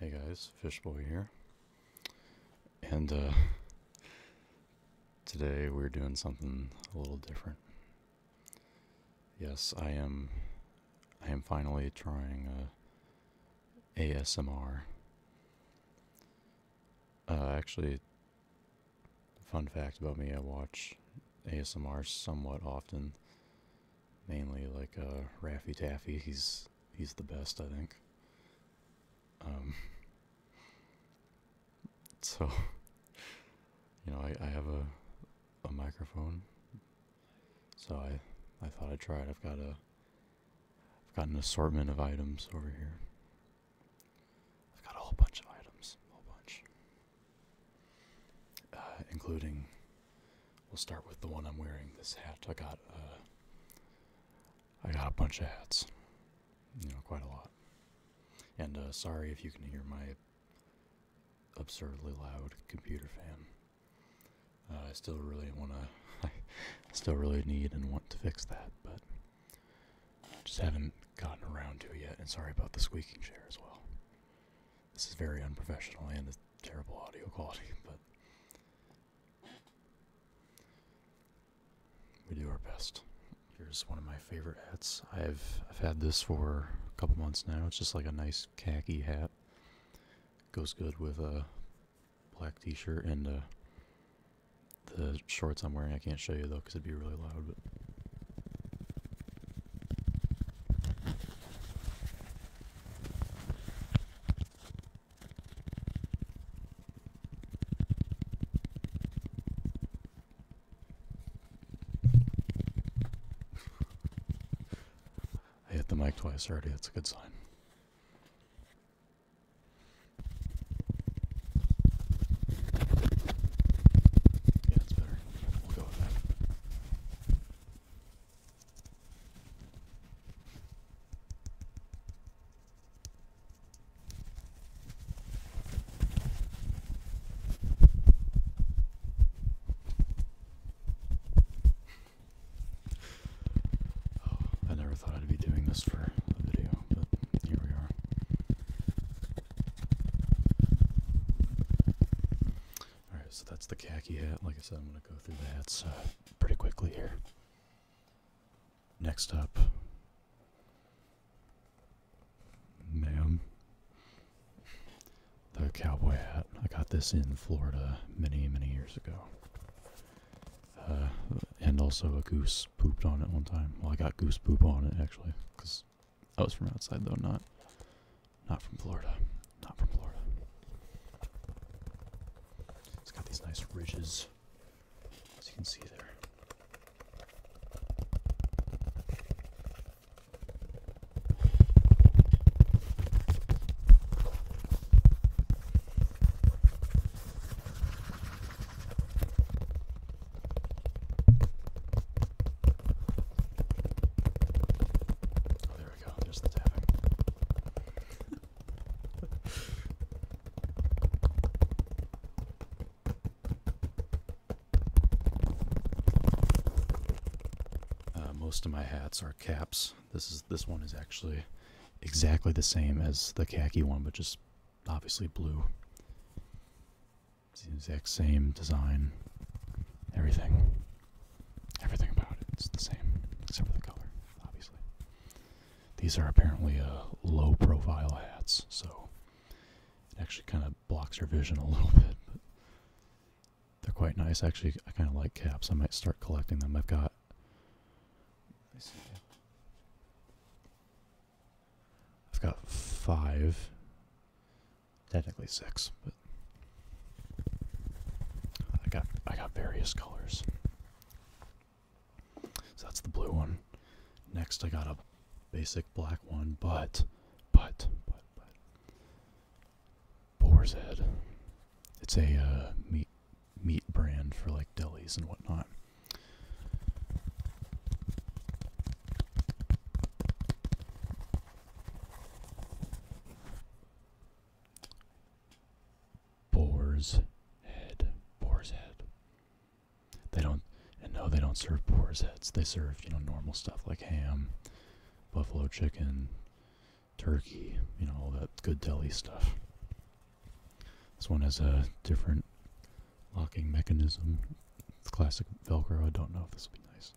Hey guys, Fishboy here. And uh, today we're doing something a little different. Yes, I am I am finally trying uh, ASMR. Uh, actually fun fact about me, I watch ASMR somewhat often mainly like uh, Raffy Taffy. He's he's the best, I think. Um, so you know, I I have a a microphone, so I I thought I'd try it. I've got a I've got an assortment of items over here. I've got a whole bunch of items, whole bunch, uh, including We'll start with the one I'm wearing. This hat I got. Uh, I got a bunch of hats. You know, quite a lot. And uh, sorry if you can hear my absurdly loud computer fan. Uh, I still really want to. I still really need and want to fix that, but just haven't gotten around to it yet. And sorry about the squeaking chair as well. This is very unprofessional and terrible audio quality, but we do our best. Here's one of my favorite hats. I've I've had this for a couple months now. It's just like a nice khaki hat. Goes good with a black t-shirt and uh, the shorts I'm wearing. I can't show you though because it'd be really loud. I hit the mic twice already, that's a good sign. Yeah, it's better. We'll go with that. I never thought I'd be doing this for a video, but here we are. Alright, so that's the khaki hat. Like I said, I'm going to go through the hats pretty quickly here. Next up, ma'am, the cowboy hat. I got this in Florida many, many years ago. Uh, and also a goose pooped on it one time. Well, I got goose poop on it, actually, because Oh, I was from outside though, not not from Florida. Not from Florida. It's got these nice ridges as you can see there. Oh, there we go. There's the tapping. Uh, most of my hats are caps. This is this one is actually exactly the same as the khaki one, but just obviously blue the exact same design. Everything. Everything about It's the same, except for the color, obviously. These are apparently uh, low profile hats, so it actually kind of blocks your vision a little bit. But they're quite nice. Actually, I kind of like caps. I might start collecting them. I've got. I've got five. Technically six, but I got I got various colors. So that's the blue one. Next I got a basic black one, but but but but Boar's It's a uh, meat meat brand for like delis and whatnot. Boar's head. Boar's head. They don't, no, they don't serve boar's heads. They serve, you know, normal stuff like ham, buffalo chicken, turkey, you know, all that good deli stuff. This one has a different locking mechanism. classic Velcro. I don't know if this will be nice.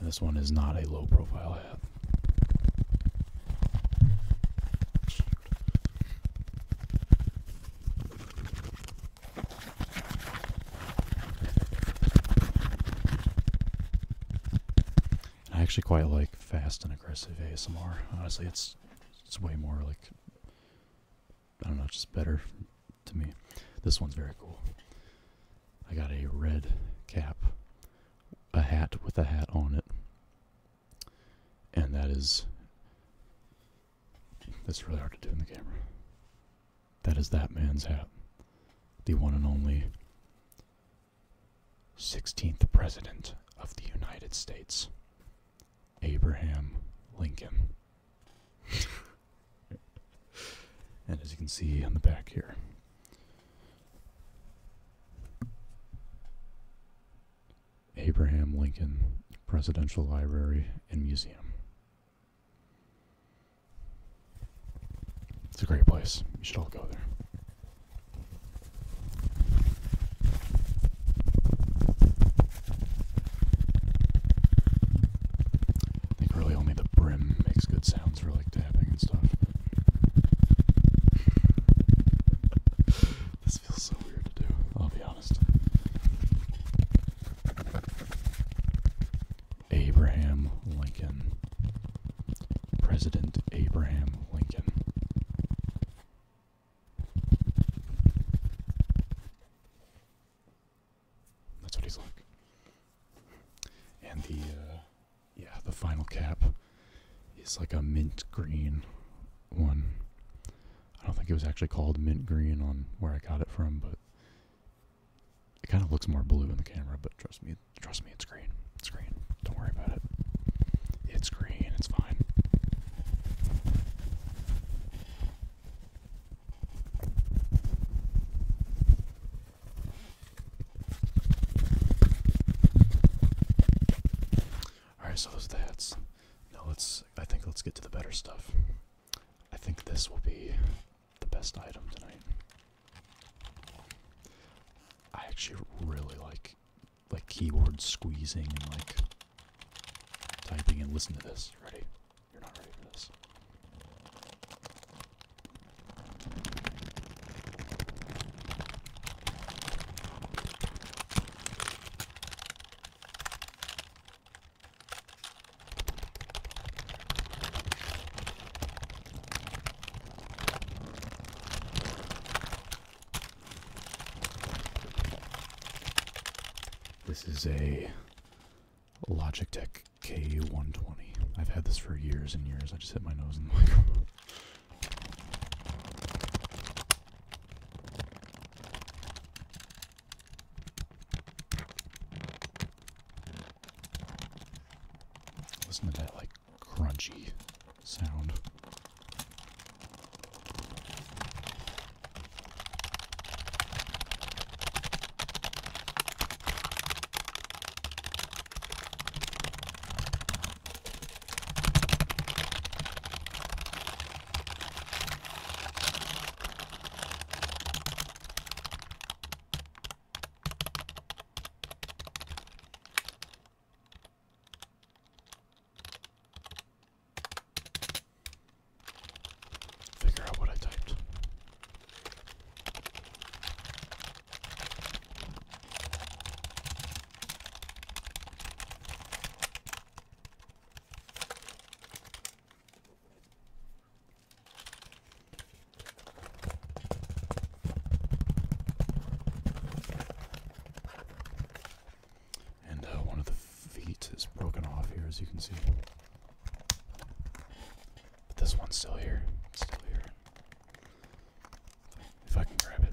this one is not a low profile hat. I actually quite like fast and aggressive ASMR. Honestly, it's it's way more like I don't know, just better to me. This one's very cool. I got a red cap, a hat with a hat on it, and that is that's really hard to do in the camera. That is that man's hat, the one and only 16th President of the United States, Abraham Lincoln. and as you can see on the back here, Abraham Lincoln Presidential Library and Museum. It's a great place. You should all go there. I think really only the brim makes good sounds for like tapping and stuff. this feels so weird to do, I'll be honest. Abraham Lincoln. President Abraham Lincoln. That's what he's like. And the, uh, yeah, the final cap is like a mint green one. I don't think it was actually called mint green on where I got it from, but it kind of looks more blue in the camera, but trust me, trust me, it's green. It's green. Don't worry about it. It's green. It's fine. All right, so those are the hats. Now let's. I think let's get to the better stuff. I think this will be the best item tonight. I actually really like like keyboard squeezing and like typing and listen to this. Ready? You're not ready for this. This is a Logitech K120. I've had this for years and years. I just hit my nose in the microphone. Listen to that, like, crunchy sound. Figure out what I typed. And uh, one of the feet is broken off here, as you can see. But this one's still here. It's still here. If I can grab it.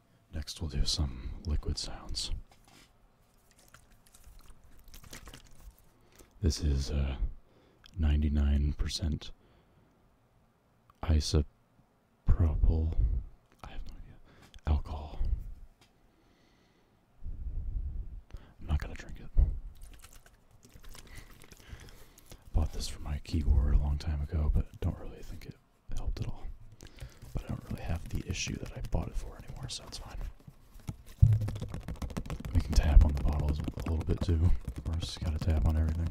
Next, we'll do some liquid sounds. This is 99% uh, isopropyl. I have no idea. Alcohol. I'm not gonna drink it. Bought this for my keyboard a long time ago, but don't really think it helped at all. But I don't really have the issue that I bought it for anymore, so it's fine. We can tap on the bottles a little bit too. Of just gotta tap on everything.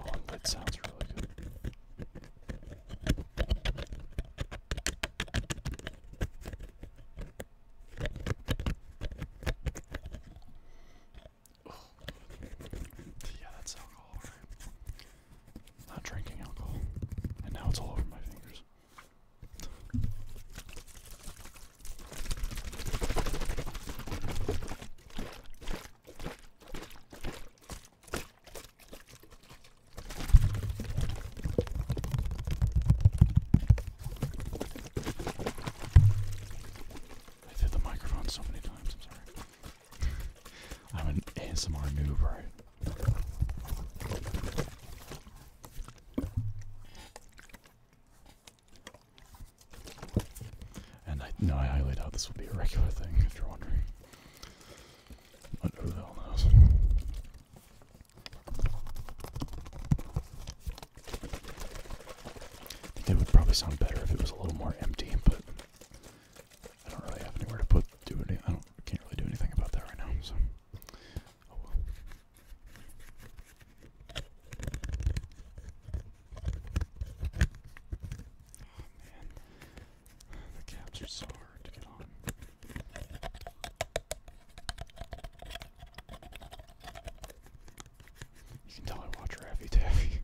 Oh, that sounds really good. Yeah, that's alcohol, Not drinking alcohol. And now it's all over my fingers. I did the microphone so many times, I'm sorry. I'm an ASMR noob, And I know I highlight out this will be a regular thing, if you're wondering. But the hell it would probably sound better if it was a little more empty, but I don't really have anywhere to put do any I don't can't really do anything about that right now, so Oh, oh man. The caps are so hard to get on. You can tell I watch Raffy Taffy.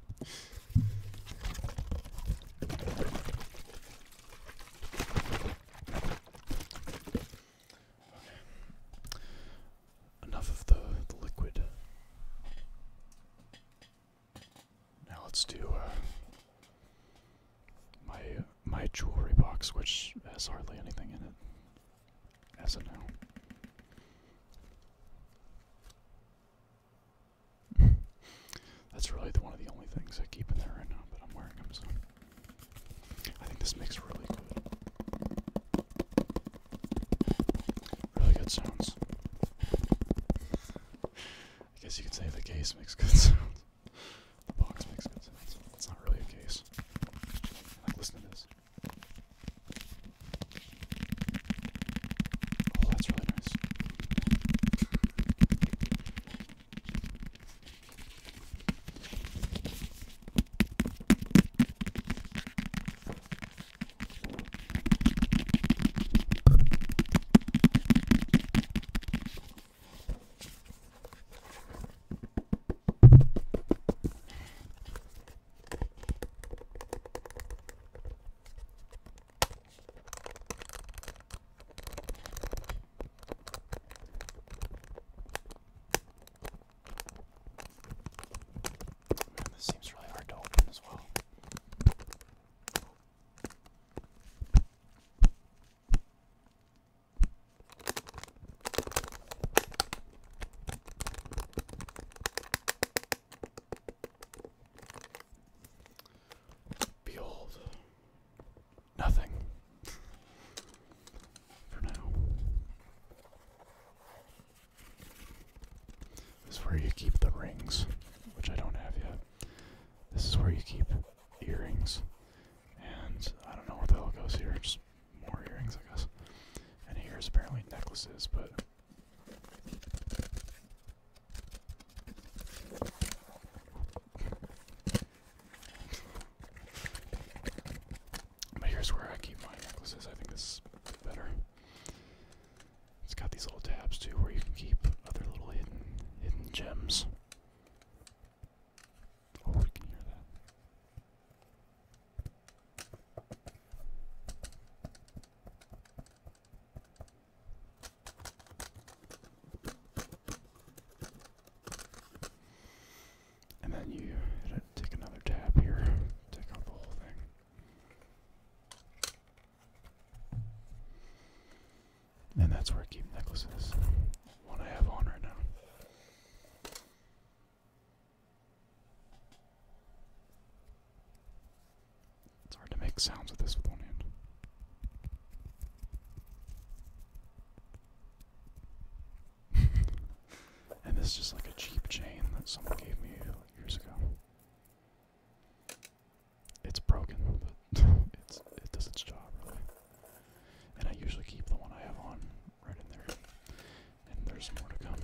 Enough of the, liquid. Now let's do uh, my my jewelry box, which has hardly anything in it. SNL. That's really one of the only things I keep in there right now, but I'm wearing them, so. I think this makes really good. Really good sounds. I guess you could say the case makes good sounds. The box makes good sounds. It's not really a case. listen to this. Oh, that's really nice. Man, this seems really hard to open as well. Behold, nothing for now. This is where you keep the rings, which I don't have yet. This is where you keep earrings, and I don't know where the hell goes here more earrings, I guess. And here's apparently necklaces, but. But here's where I keep my necklaces. I think this is better. It's got these little tabs too, where you can keep other little hidden hidden gems. Oh, we can hear that. And then you take another tab here, take out the whole thing. And that's where I keep necklaces. One I have on right now. It's hard to make sounds with this with and this is just like a cheap chain that someone gave me years ago. It's broken, but it's it does its job really. And I usually keep the one I have on right in there. And there's more to come.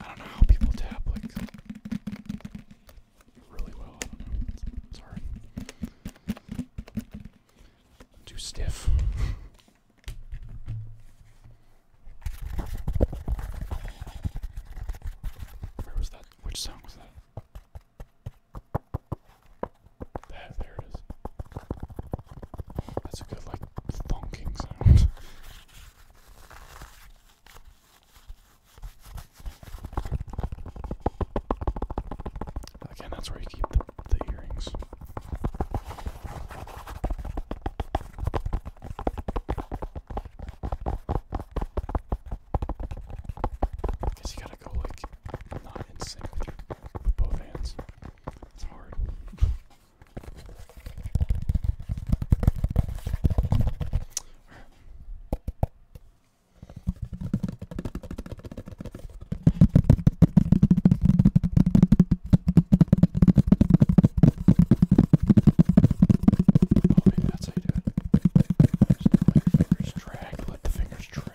I don't know how people tap like really well. I too stiff. Where was that? Which sound was that? There, it is. That's a good, like, thonking sound. Again, that's where you keep the, the earrings. I guess you gotta go like not in sync with, your, with both hands. It's hard. Oh, maybe that's how you do it. Just let your fingers drag. Let the fingers drag.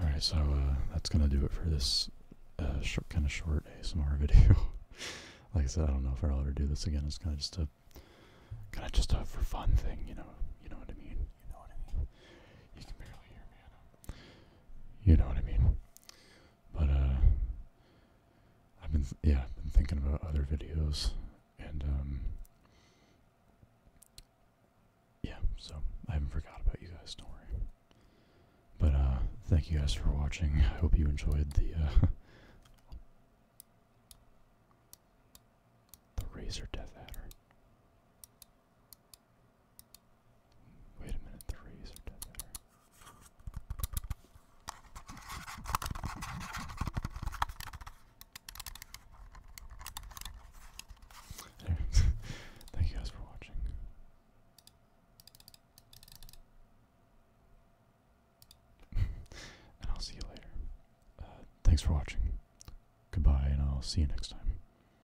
All right, so uh, that's gonna do it for this kind uh, of short ASMR video. like I said, I don't know if I'll ever do this again. It's kind of just a, kind of just a for fun thing, you know. You know what I mean. You know what I mean. You can barely hear me. You know what I mean. But uh, I've been yeah, been thinking about other videos, and um, yeah. So I haven't forgot about you guys. Don't worry. But uh, thank you guys for watching. I hope you enjoyed the uh, the Razor Death Adder. Wait a minute, the rays are dead better. Thank you guys for watching. and I'll see you later. Uh, thanks for watching. Goodbye, and I'll see you next time.